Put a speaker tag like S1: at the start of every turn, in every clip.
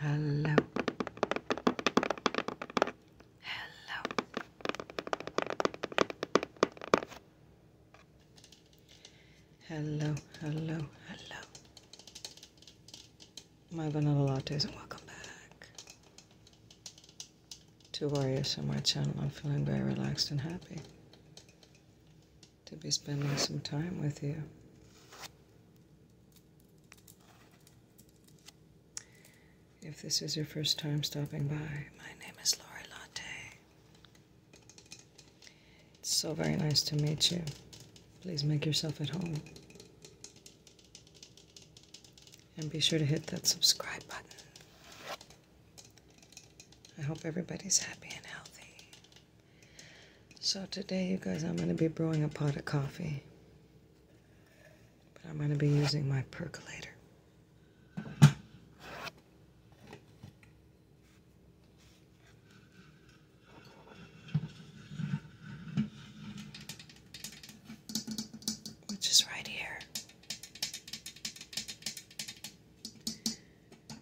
S1: Hello. Hello. Hello, hello, hello. My vanilla lattes and welcome back to Warriors on my channel. I'm feeling very relaxed and happy to be spending some time with you. If this is your first time stopping by, my name is Lori Latte. It's so very nice to meet you. Please make yourself at home. And be sure to hit that subscribe button. I hope everybody's happy and healthy. So today, you guys, I'm going to be brewing a pot of coffee. But I'm going to be using my percolator. Which is right here.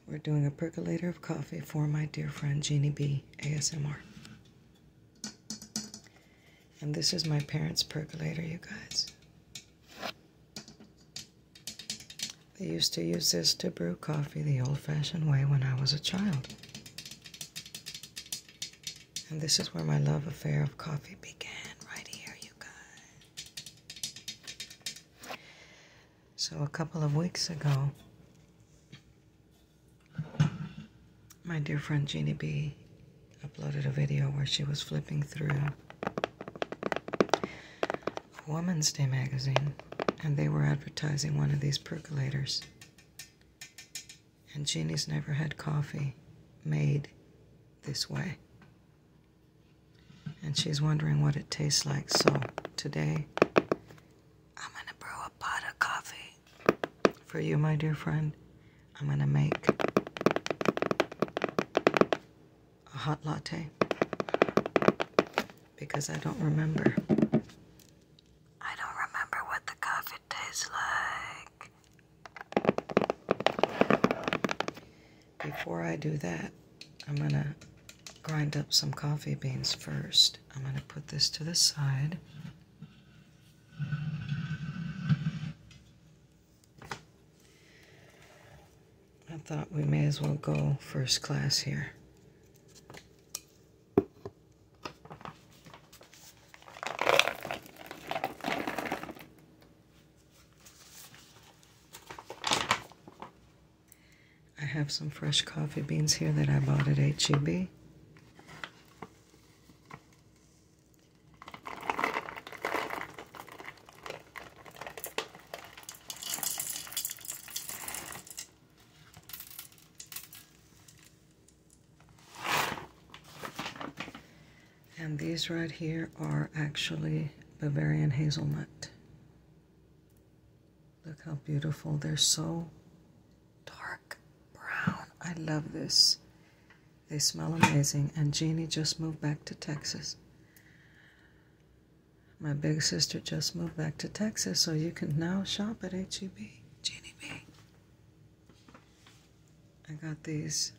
S1: We're doing a percolator of coffee for my dear friend Jeannie B. ASMR. And this is my parents' percolator, you guys. They used to use this to brew coffee the old fashioned way when I was a child. And this is where my love affair of coffee began, right here, you guys. So, a couple of weeks ago, my dear friend Jeannie B uploaded a video where she was flipping through a Woman's Day magazine and they were advertising one of these percolators. And Jeannie's never had coffee made this way. And she's wondering what it tastes like. So today, I'm going to brew a pot of coffee for you, my dear friend. I'm going to make a hot latte because I don't remember. I don't remember what the coffee tastes like before I do that, I'm going to grind up some coffee beans first. I'm going to put this to the side. I thought we may as well go first class here. I have some fresh coffee beans here that I bought at HEB. And these right here are actually Bavarian hazelnut. Look how beautiful. They're so dark brown. I love this. They smell amazing. And Jeannie just moved back to Texas. My big sister just moved back to Texas, so you can now shop at HEB. Jeannie B. I got these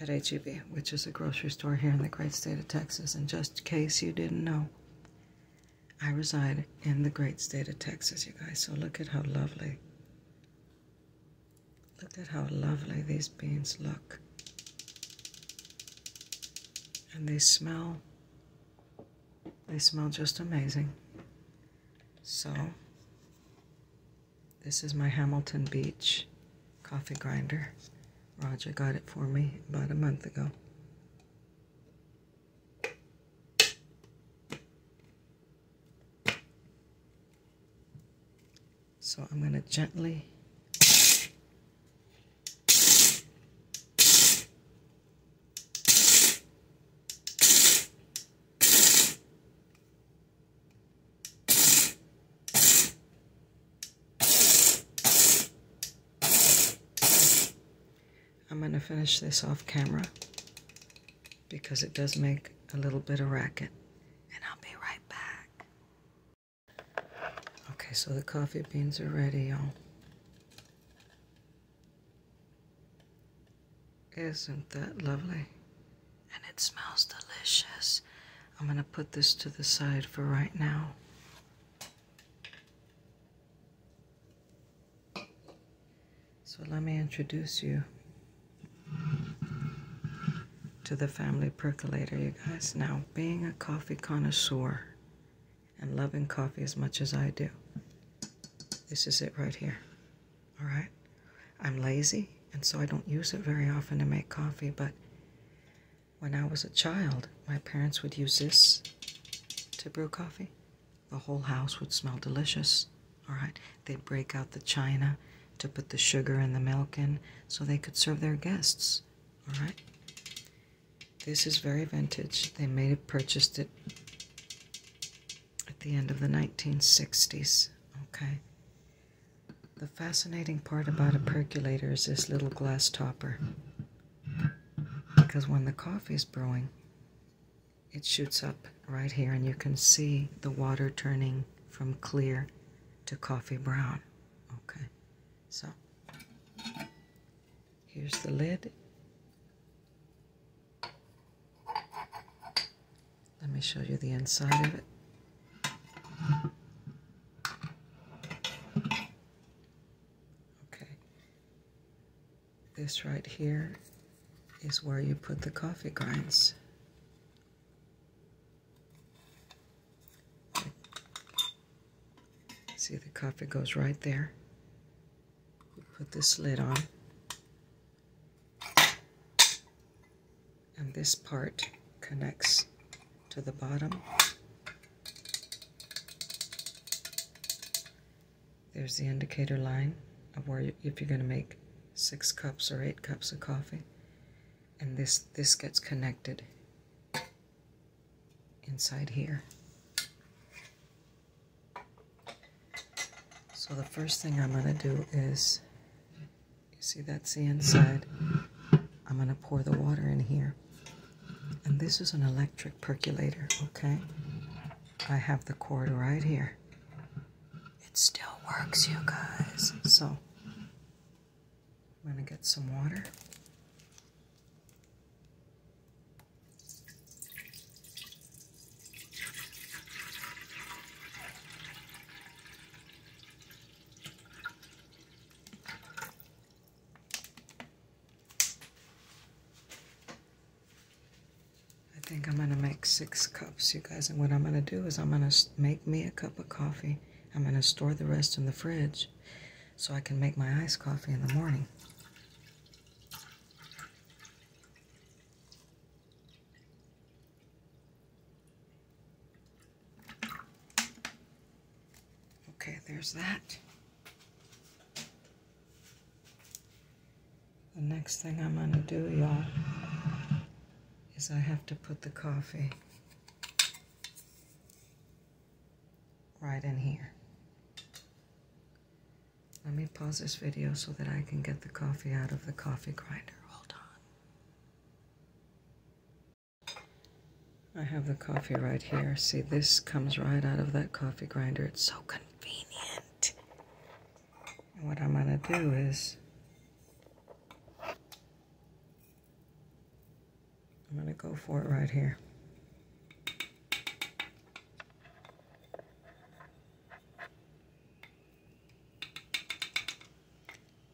S1: at HEB, which is a grocery store here in the great state of Texas. And just in case you didn't know, I reside in the great state of Texas, you guys. So look at how lovely. Look at how lovely these beans look. And they smell, they smell just amazing. So, this is my Hamilton Beach coffee grinder. Roger got it for me about a month ago. So I'm going to gently I'm going to finish this off camera because it does make a little bit of racket. And I'll be right back. Okay, so the coffee beans are ready, y'all. Isn't that lovely? And it smells delicious. I'm going to put this to the side for right now. So let me introduce you to the family percolator, you guys. Now, being a coffee connoisseur and loving coffee as much as I do, this is it right here all right? I'm lazy, and so I don't use it very often to make coffee, but when I was a child, my parents would use this to brew coffee. The whole house would smell delicious, all right? They'd break out the china to put the sugar and the milk in so they could serve their guests, all right? This is very vintage. They may have purchased it at the end of the 1960s. Okay. The fascinating part about a percolator is this little glass topper. Because when the coffee is brewing, it shoots up right here, and you can see the water turning from clear to coffee brown. Okay, so here's the lid. Let me show you the inside of it. Okay. This right here is where you put the coffee grinds. See, the coffee goes right there. put this lid on. And this part connects to the bottom. There's the indicator line of where if you're going to make six cups or eight cups of coffee. And this, this gets connected inside here. So the first thing I'm going to do is, you see that's the inside. I'm going to pour the water in here. And this is an electric percolator, okay? I have the cord right here. It still works, you guys. So, I'm going to get some water. I think I'm going to make six cups, you guys. And what I'm going to do is I'm going to make me a cup of coffee. I'm going to store the rest in the fridge so I can make my iced coffee in the morning. Okay, there's that. The next thing I'm going to do, y'all, is I have to put the coffee right in here. Let me pause this video so that I can get the coffee out of the coffee grinder. Hold on. I have the coffee right here. See, this comes right out of that coffee grinder. It's so convenient. what I'm going to do is I'm going to go for it right here.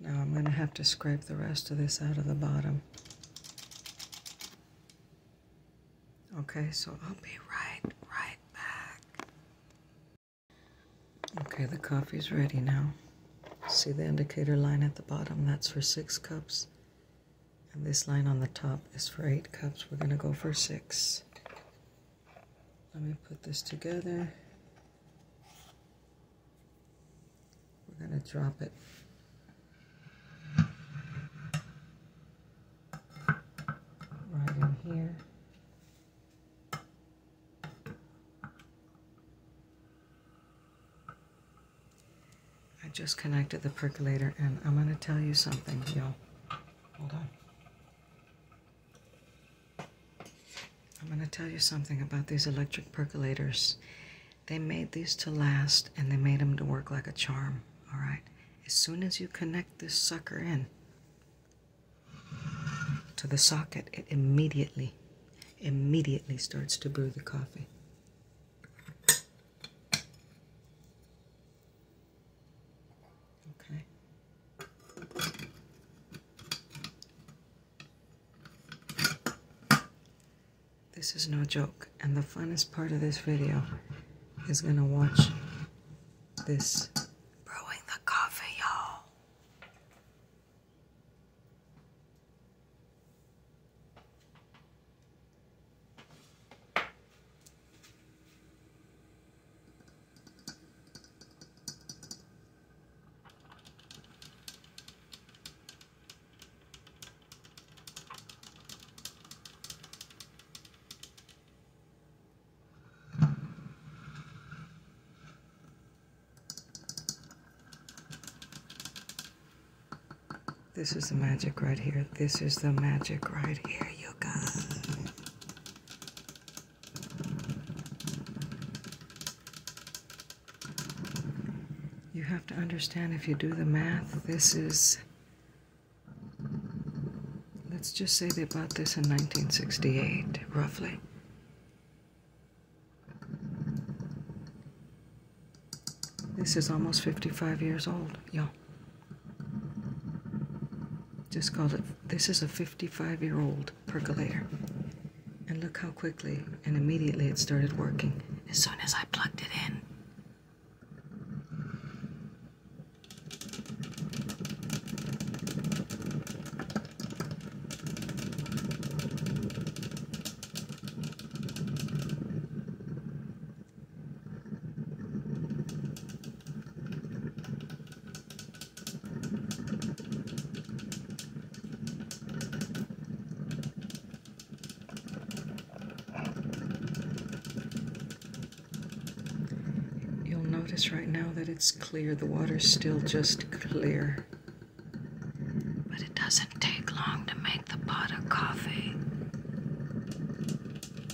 S1: Now I'm going to have to scrape the rest of this out of the bottom. Okay, so I'll be right, right back. Okay, the coffee's ready now. See the indicator line at the bottom? That's for six cups. And this line on the top is for eight cups. We're going to go for six. Let me put this together. We're going to drop it. right in here. I just connected the percolator and I'm going to tell you something, y'all. Hold I'm going to tell you something about these electric percolators. They made these to last and they made them to work like a charm, all right? As soon as you connect this sucker in to the socket, it immediately, immediately starts to brew the coffee. Okay. This is no joke, and the funnest part of this video is gonna watch this brewing the coffee, y'all. This is the magic right here. This is the magic right here, you guys. You have to understand if you do the math, this is, let's just say they bought this in 1968, roughly. This is almost 55 years old, you just called it, this is a 55 year old percolator. And look how quickly and immediately it started working as soon as I plugged it in. You'll notice right now that it's clear, the water's still just clear. But it doesn't take long to make the pot of coffee.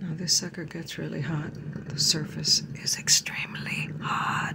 S1: Now, this sucker gets really hot. The surface is extremely hot.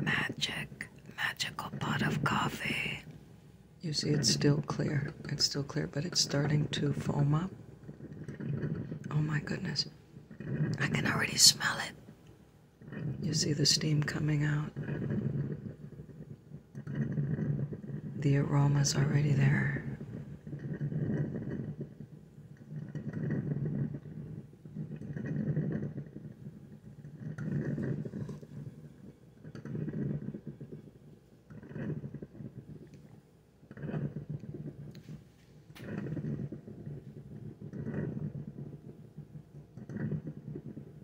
S1: Magic, magical pot of coffee. You see, it's still clear. It's still clear, but it's starting to foam up. Oh my goodness. I can already smell it. You see the steam coming out. The aroma's already there.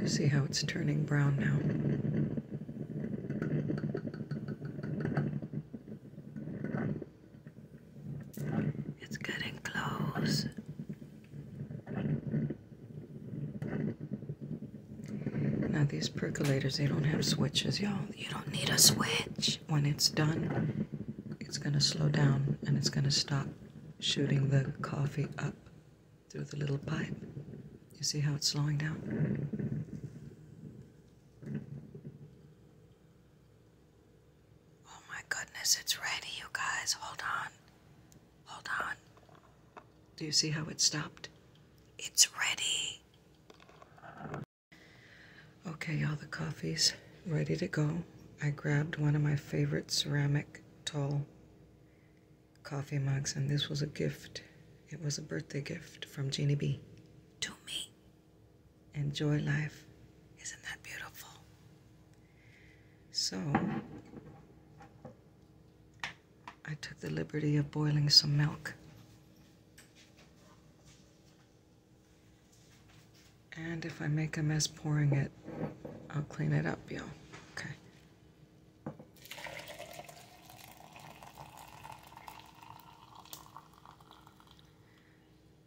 S1: You see how it's turning brown now. It's getting close. Now these percolators, they don't have switches, y'all. You don't need a switch. When it's done, it's gonna slow down and it's gonna stop shooting the coffee up through the little pipe. You see how it's slowing down? Oh my goodness, it's ready, you guys. Hold on. Hold on. Do you see how it stopped? It's ready. Okay, all the coffee's ready to go. I grabbed one of my favorite ceramic tall coffee mugs, and this was a gift. It was a birthday gift from Jeannie B. To me. Enjoy life. Isn't that beautiful? So, I took the liberty of boiling some milk. And if I make a mess pouring it, I'll clean it up, y'all. Okay.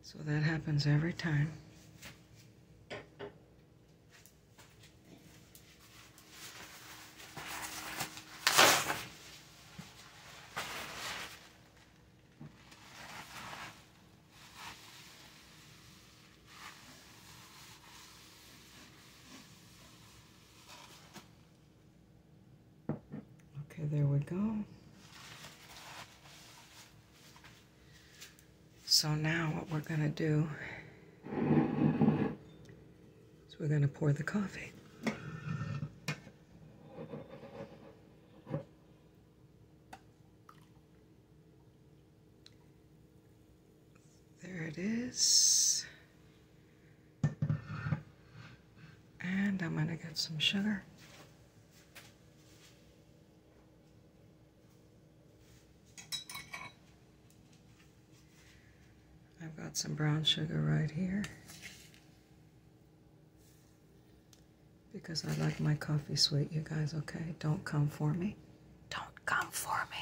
S1: So that happens every time. Okay, there we go. So now what we're going to do is we're going to pour the coffee. There it is. And I'm going to get some sugar. I've got some brown sugar right here because I like my coffee sweet, you guys, okay? Don't come for me. Don't come for me.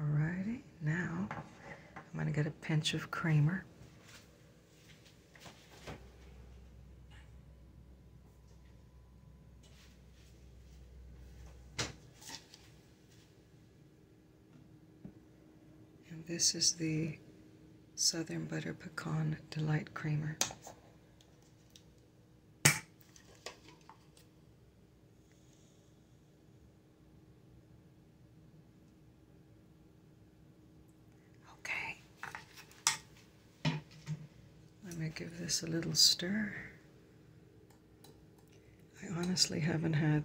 S1: Alrighty, now I'm going to get a pinch of creamer. And this is the Southern Butter Pecan Delight Creamer. Okay. Let me give this a little stir. I honestly haven't had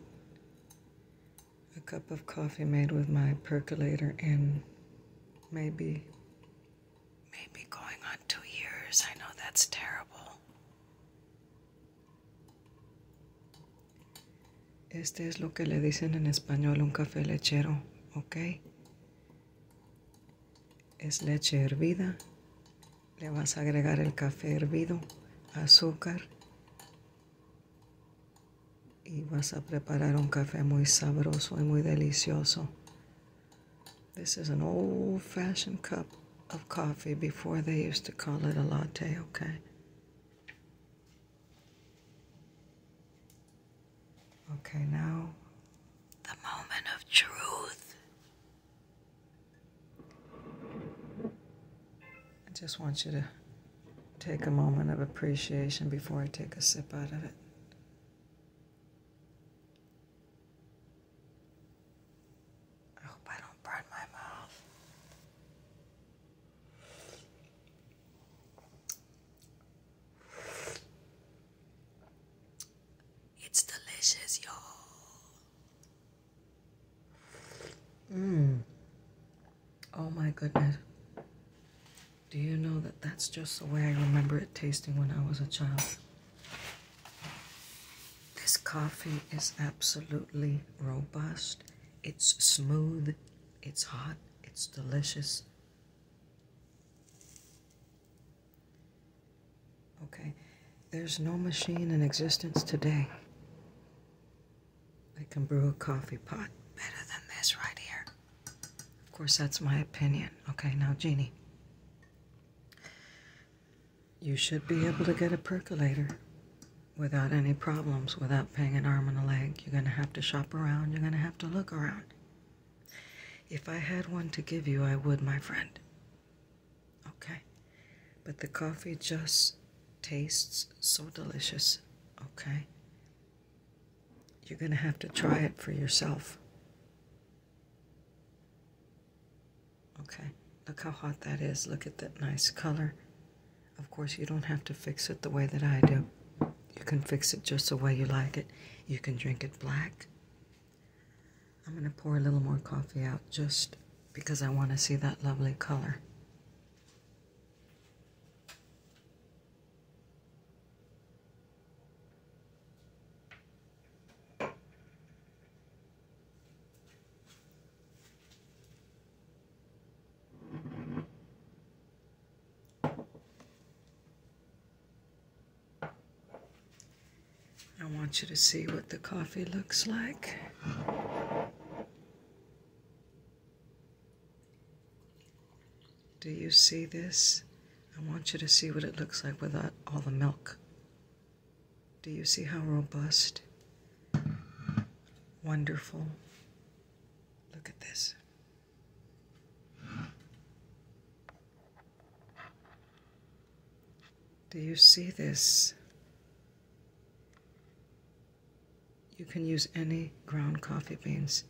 S1: a cup of coffee made with my percolator in maybe I know that's terrible. Este es lo que le dicen en español un café lechero, ¿ok? Es leche hervida. Le vas a agregar el café hervido, azúcar y vas a preparar un café muy sabroso y muy delicioso. This is an old fashioned cup of coffee before they used to call it a latte, okay? Okay, now the moment of truth. I just want you to take a moment of appreciation before I take a sip out of it. I hope I don't burn my mouth. It's delicious, y'all. Mmm. Oh my goodness. Do you know that that's just the way I remember it tasting when I was a child? This coffee is absolutely robust. It's smooth, it's hot, it's delicious. Okay, there's no machine in existence today I can brew a coffee pot better than this right here. Of course, that's my opinion. Okay, now, Jeannie. You should be able to get a percolator without any problems, without paying an arm and a leg. You're going to have to shop around, you're going to have to look around. If I had one to give you, I would, my friend. Okay? But the coffee just tastes so delicious, okay? You're going to have to try it for yourself. Okay, look how hot that is. Look at that nice color. Of course, you don't have to fix it the way that I do. You can fix it just the way you like it. You can drink it black. I'm going to pour a little more coffee out just because I want to see that lovely color. I want you to see what the coffee looks like. Do you see this I want you to see what it looks like without all the milk. Do you see how robust? Wonderful. Look at this. Do you see this? You can use any ground coffee beans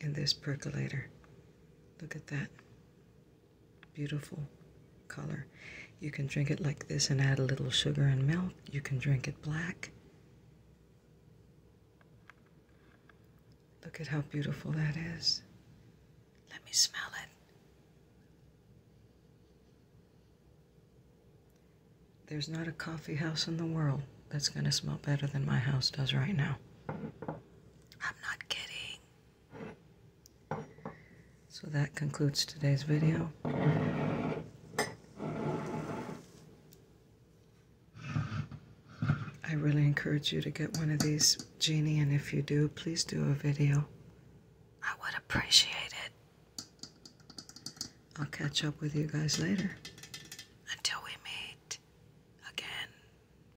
S1: in this percolator. Look at that. Beautiful color. You can drink it like this and add a little sugar and milk. You can drink it black. Look at how beautiful that is. Let me smell it. There's not a coffee house in the world that's going to smell better than my house does right now. I'm not kidding. So that concludes today's video. I really encourage you to get one of these Genie, and if you do, please do a video. I would appreciate it. I'll catch up with you guys later. Until we meet again.